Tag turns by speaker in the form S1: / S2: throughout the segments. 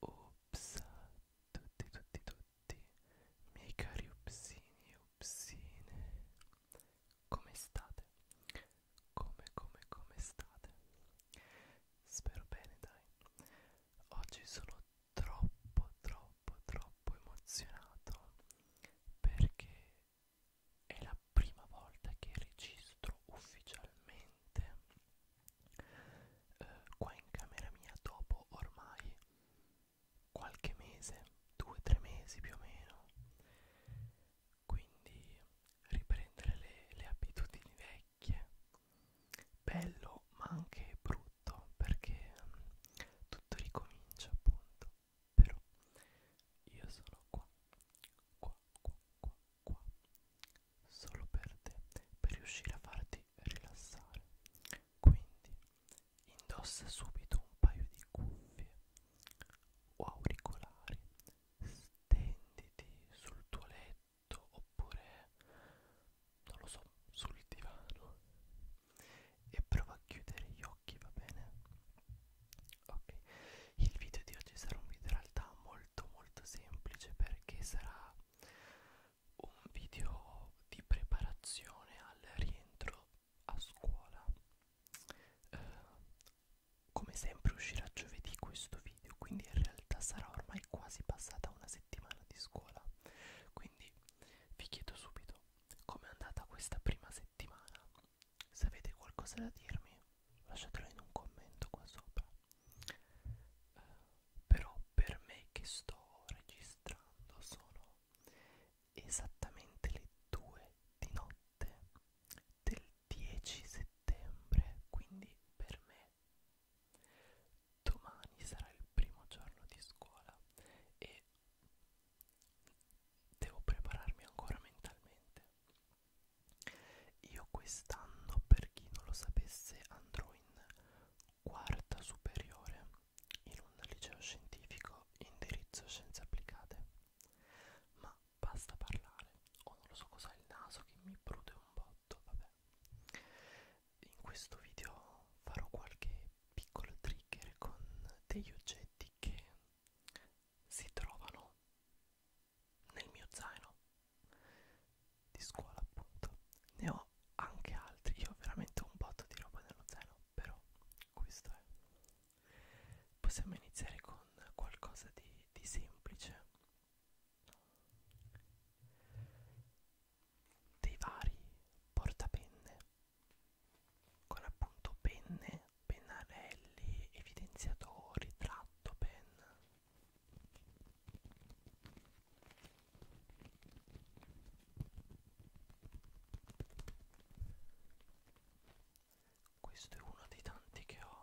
S1: Ups, tutti, tutti, tutti, miei cari upsini e upsine, come state? Come, come, come state? Spero bene, dai. Oggi sono troppo, troppo troppo troppo emozionato perché è la prima volta che registro ufficialmente eh, qua in camera mia dopo ormai qualche mese, due o tre mesi più o meno. Quindi riprendere le, le abitudini vecchie, bello ma anche brutto tutto perché mm, tutto ricomincia appunto però io sono qua qua qua qua qua solo per te per riuscire a farti rilassare quindi indossa subito un paio di cuffie o auricolari stenditi sul tuo letto oppure non lo so, sul divano e prova a chiudere gli occhi, va bene? Ok, il video di oggi sarà un video in realtà molto molto semplice perché sarà un video di preparazione al rientro a scuola. Eh, come sempre uscirà giovedì questo video, quindi in realtà sarà ormai quasi passata una settimana di scuola. Quindi vi chiedo subito Com'è andata questa prima settimana? Se avete qualcosa da dirmi, lasciatelo in un commento qua sopra. Uh, però per me che sto registrando sono esattamente le 2 di notte del 10 settembre, quindi per me domani sarà il primo giorno di scuola e devo prepararmi ancora mentalmente. Io quest'anno, per chi non lo sapesse, andrò in quarta superiore in un liceo scientifico indirizzo scienze applicate. Ma basta parlare, o oh, non lo so cos'ha il naso che mi prude un botto, vabbè. In questo video farò qualche piccolo trigger con degli oggetti che si trovano nel mio zaino di scuola appunto ne ho anche altri io ho veramente un botto di roba nello zaino però questo è possiamo iniziare con qualcosa di, di semplice dei vari portapenne con appunto penne, pennarelli, evidenziatori, tratto penna. Questo è uno dei tanti che ho.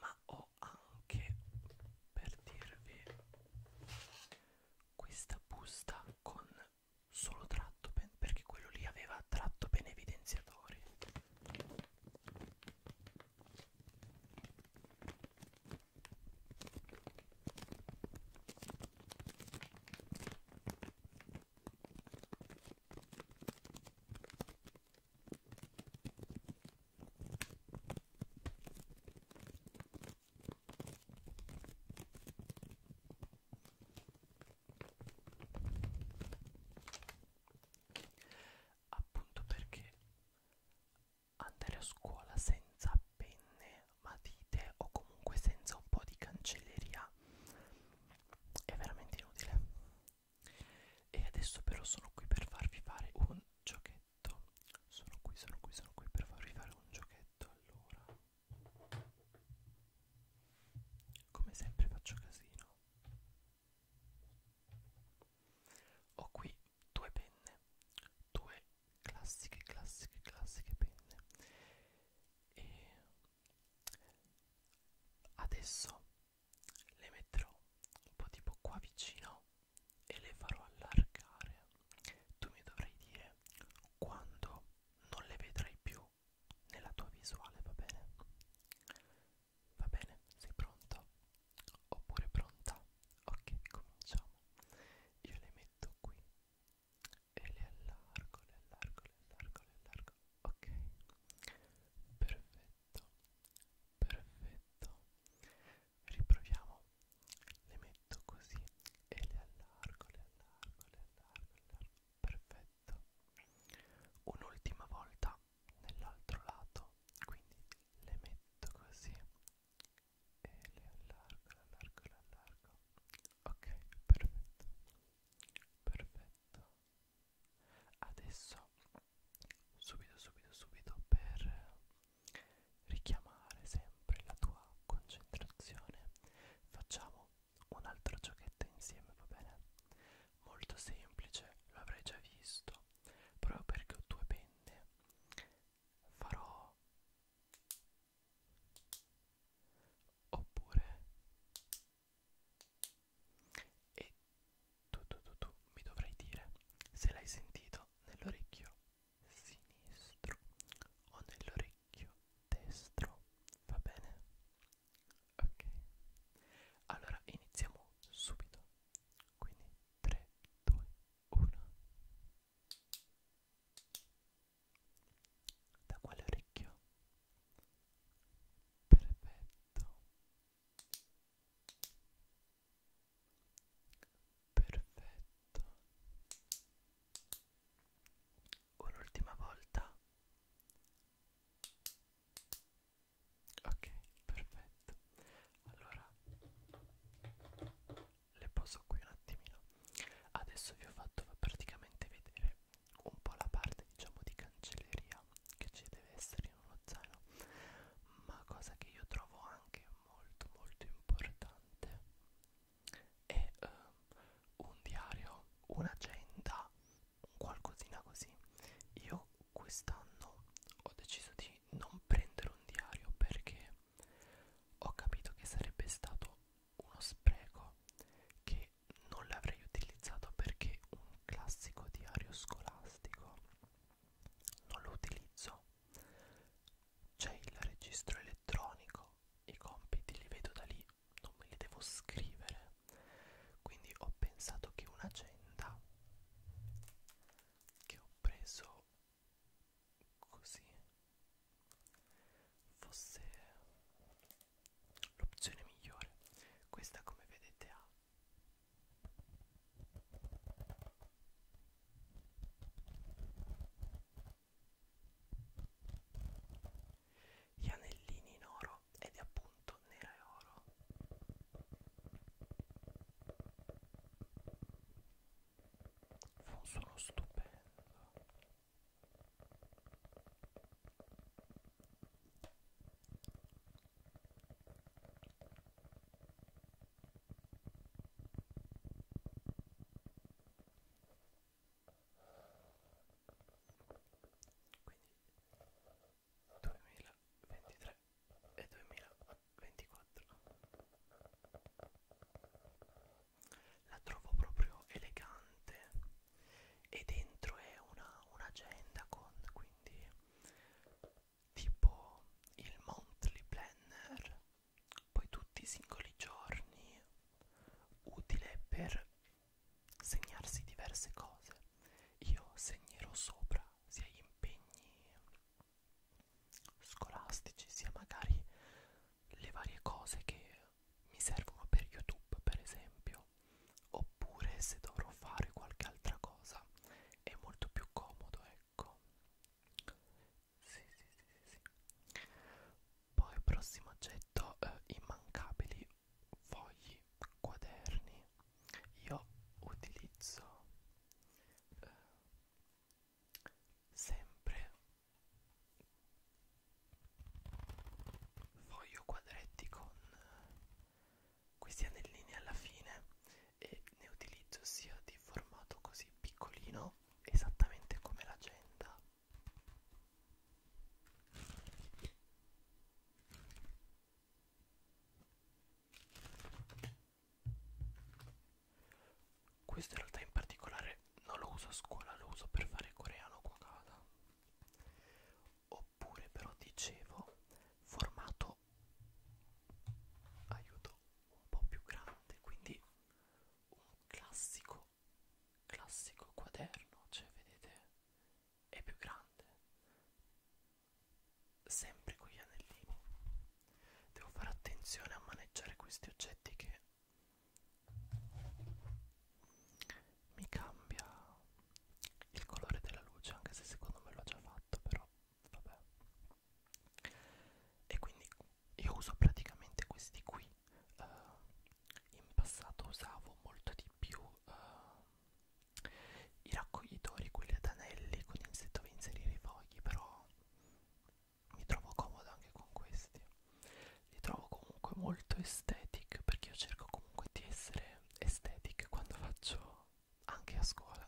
S1: ma ho anche per dirvi questa busta con solo tratto pen perché quello lì aveva tratto pen evidenziatori Appunto perché andare a scuola senza penne, matite o comunque senza un po' di cancelleria è veramente inutile. E adesso però sono qui per farvi fare un giochetto. Sono qui, sono qui, sono qui per farvi fare un giochetto. Allora, come sempre faccio casino. Ho qui due penne, due classiche, classiche, classiche penne. E adesso le metterò un po' tipo qua vicino e le farò allargare tu mi dovrai dire quando non le vedrai più nella tua visuale va bene va bene sei pronto oppure pronta ok cominciamo io le metto qui e le allargo le allargo le allargo le allargo ok perfetto perfetto riproviamo le metto così e le allargo le allargo le allargo, le allargo. perfetto un'ultima volta nell'altro lato quindi le metto così e le allargo le allargo le allargo ok perfetto perfetto adesso subito subito subito per richiamare sempre la tua concentrazione facciamo un altro giochetto insieme va bene molto semplice lo avrai già visto proprio perché ho due penne farò oppure e tu tu tu tu mi dovrai dire se l'hai sentito nell'orecchio sinistro o nell'orecchio destro, va bene? Ok, allora iniziamo subito, quindi 3, 2, 1. Da quale orecchio? perfetto perfetto un'ultima volta ok perfetto allora le poso qui un attimino adesso vi ho fatto praticamente vedere un po' la parte diciamo di cancelleria che ci deve essere in uno zaino ma cosa che io trovo anche molto molto importante è eh, un diario un'agenda un qualcosina così io quest'anno ho deciso di non prendere un diario perché ho capito che sarebbe stato uno spreco che che non l'avrei utilizzato perché un classico diario scolastico non lo utilizzo c'è il registro elettronico i compiti li vedo da lì non me li devo scrivere quindi ho pensato che un'agenda che ho preso così fosse l'opzione migliore questa come vedete ha gli anellini in oro ed è appunto nera e oro fa un suono stupendo quindi 2023 e 2024 la trovo proprio elegante e dentro è un'agenda una con quindi tipo il monthly planner poi tutti i singoli giorni utile per segnarsi diverse cose io segnerò sopra sia gli impegni scolastici sia magari le varie cose che mi servono per youtube per esempio video oppure se dovrò fare qualche altra cosa è molto più comodo ecco sì sì sì sì, sì. poi prossimo oggetto eh, immancabili fogli quaderni io utilizzo eh, sempre foglio quadretti con questi anellini alla fine e ne utilizzo sia di formato così piccolino esattamente come l'agenda questo in realtà in particolare non lo uso a scuola, lo uso per fare coreano cuocata oppure però dicevo formato aiuto un po' più grande quindi un classico classico quaderno cioè vedete è più grande sempre con gli anellini devo fare attenzione a maneggiare questi oggetti che mi cambia il colore della luce anche se secondo me l'ho già fatto però vabbè e quindi io uso praticamente questi qui uh, in passato usavo molto di più uh, i raccoglitori quelli ad anelli con insetto per inserire i fogli però mi trovo comoda anche con questi li trovo comunque molto estetic perché io cerco comunque di essere estetic quando faccio anche a scuola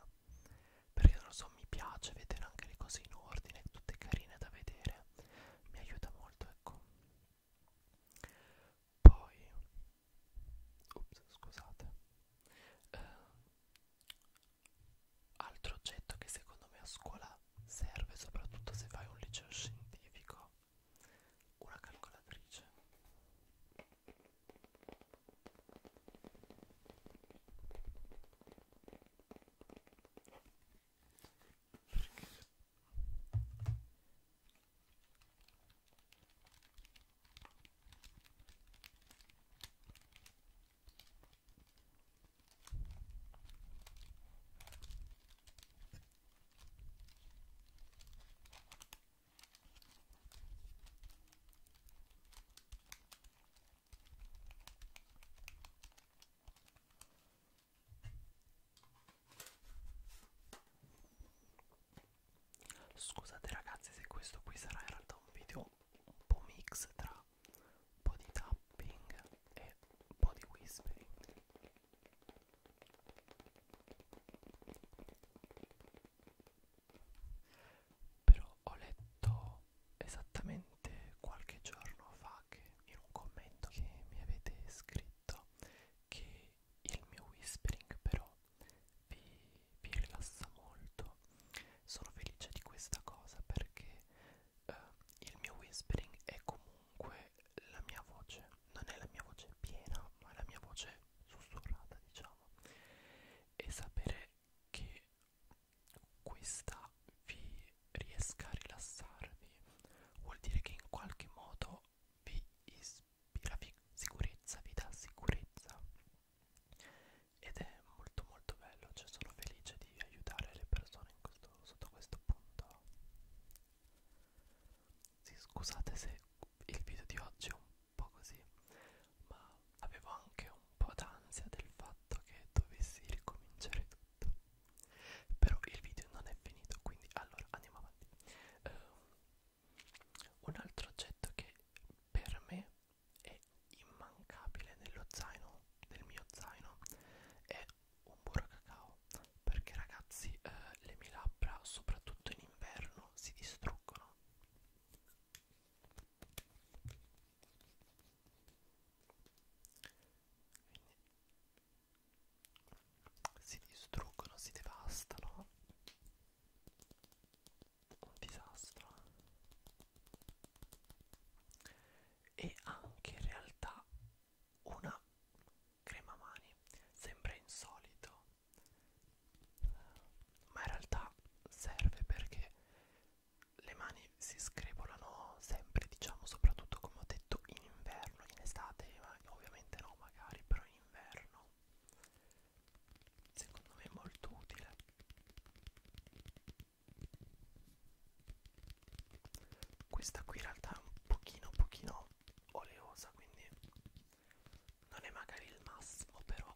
S1: perché non lo so mi piace vedere anche le cose in ordine tutte carine da vedere mi aiuta molto ecco poi ups scusate eh, altro oggetto che secondo me a scuola serve soprattutto se fai un liceo scientifico una calcolatrice perché Scusate ragazzi se questo qui sarà in realtà un video un po' mix tra un po' di tapping e un po' di whispering però ho letto esattamente qualche giorno fa che in un commento che mi avete scritto che il mio whispering però vi, vi rilassa molto sono felice di questa cosa perché eh, il mio whispering è comunque la mia voce, non è la mia voce piena, ma è la mia voce sussurrata, diciamo. E sapere che questa vi riesca a rilassarvi vuol dire che in qualche modo vi ispira vi sicurezza, vi dà sicurezza ed è molto molto bello, cioè sono felice di aiutare le persone in questo questo, sotto questo punto sì, scusate se il video di oggi è un po' così ma avevo anche un po' d'ansia del fatto che dovessi ricominciare tutto però il video non è finito quindi allora andiamo avanti uh, un altro oggetto che per me è immancabile nello zaino del mio zaino è un burro cacao perché ragazzi eh, le mie labbra soprattutto in inverno si distruggono Quindi si distruggono, si devastano un disastro e anche in realtà una crema mani sembra insolito ma in realtà serve perché le mani si screpolano sempre diciamo soprattutto come ho detto in inverno in estate ma ovviamente no magari però in inverno secondo me è molto utile questa qui in realtà è un pochino, un pochino oleosa, quindi non è magari il massimo, però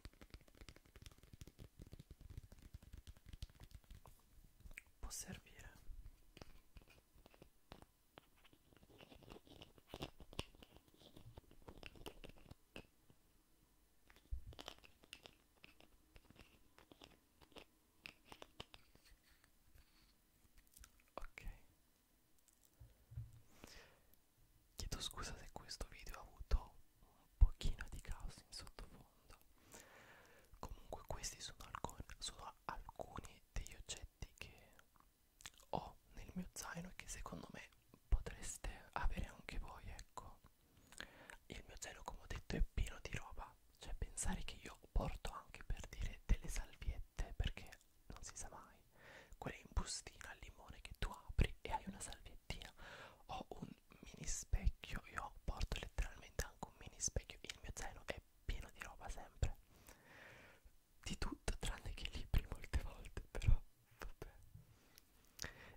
S1: può servire ok chiedo scusa se questo video ha avuto un pochino di caos in sottofondo comunque questi sono, alcun, sono alcuni degli oggetti che ho nel mio zaino e che secondo me potreste avere anche voi ecco il mio zelo, come ho detto, è pieno di roba. Cioè, pensare che io porto anche per dire delle salviette, perché non si sa mai. Quelle in bustina al limone che tu apri e hai una salviettina. Ho un mini specchio, io porto letteralmente anche un mini specchio. Il mio zelo è pieno di roba sempre. Di tutto, tranne che libri molte volte, però vabbè.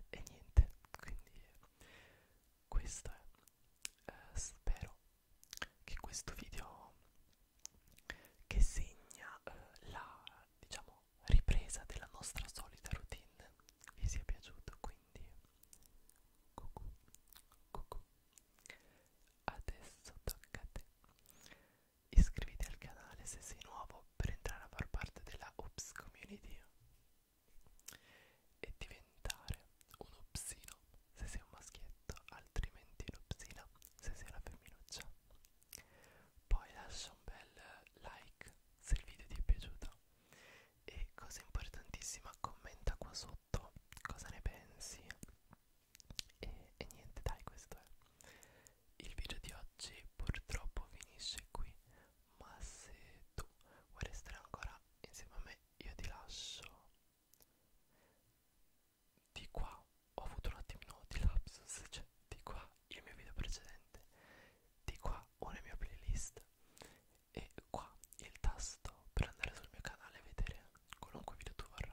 S1: E niente, quindi questo è eh, spero che questo video che segna eh, la diciamo ripresa della nostra solita routine vi sia piaciuto quindi cucù, cucù. adesso tocca a te iscriviti al canale se sei nuovo per entrare a far parte della Oops Community e diventare un opsino se sei un maschietto, altrimenti l'opsina se sei una femminuccia. Poi lascia un bel like se il video ti è piaciuto e cosa importantissima commenta qua sotto cosa ne pensi e, e niente dai questo è il video di oggi purtroppo finisce qui ma se tu vuoi restare ancora insieme a me io ti lascio di qua ho avuto un attimino di lapsus cioè di qua il mio video precedente di qua una mia playlist e qua il tasto per andare sul mio canale e vedere qualunque video tu vorrai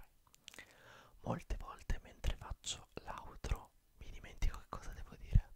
S1: molte volte mentre faccio l'outro mi dimentico che cosa devo dire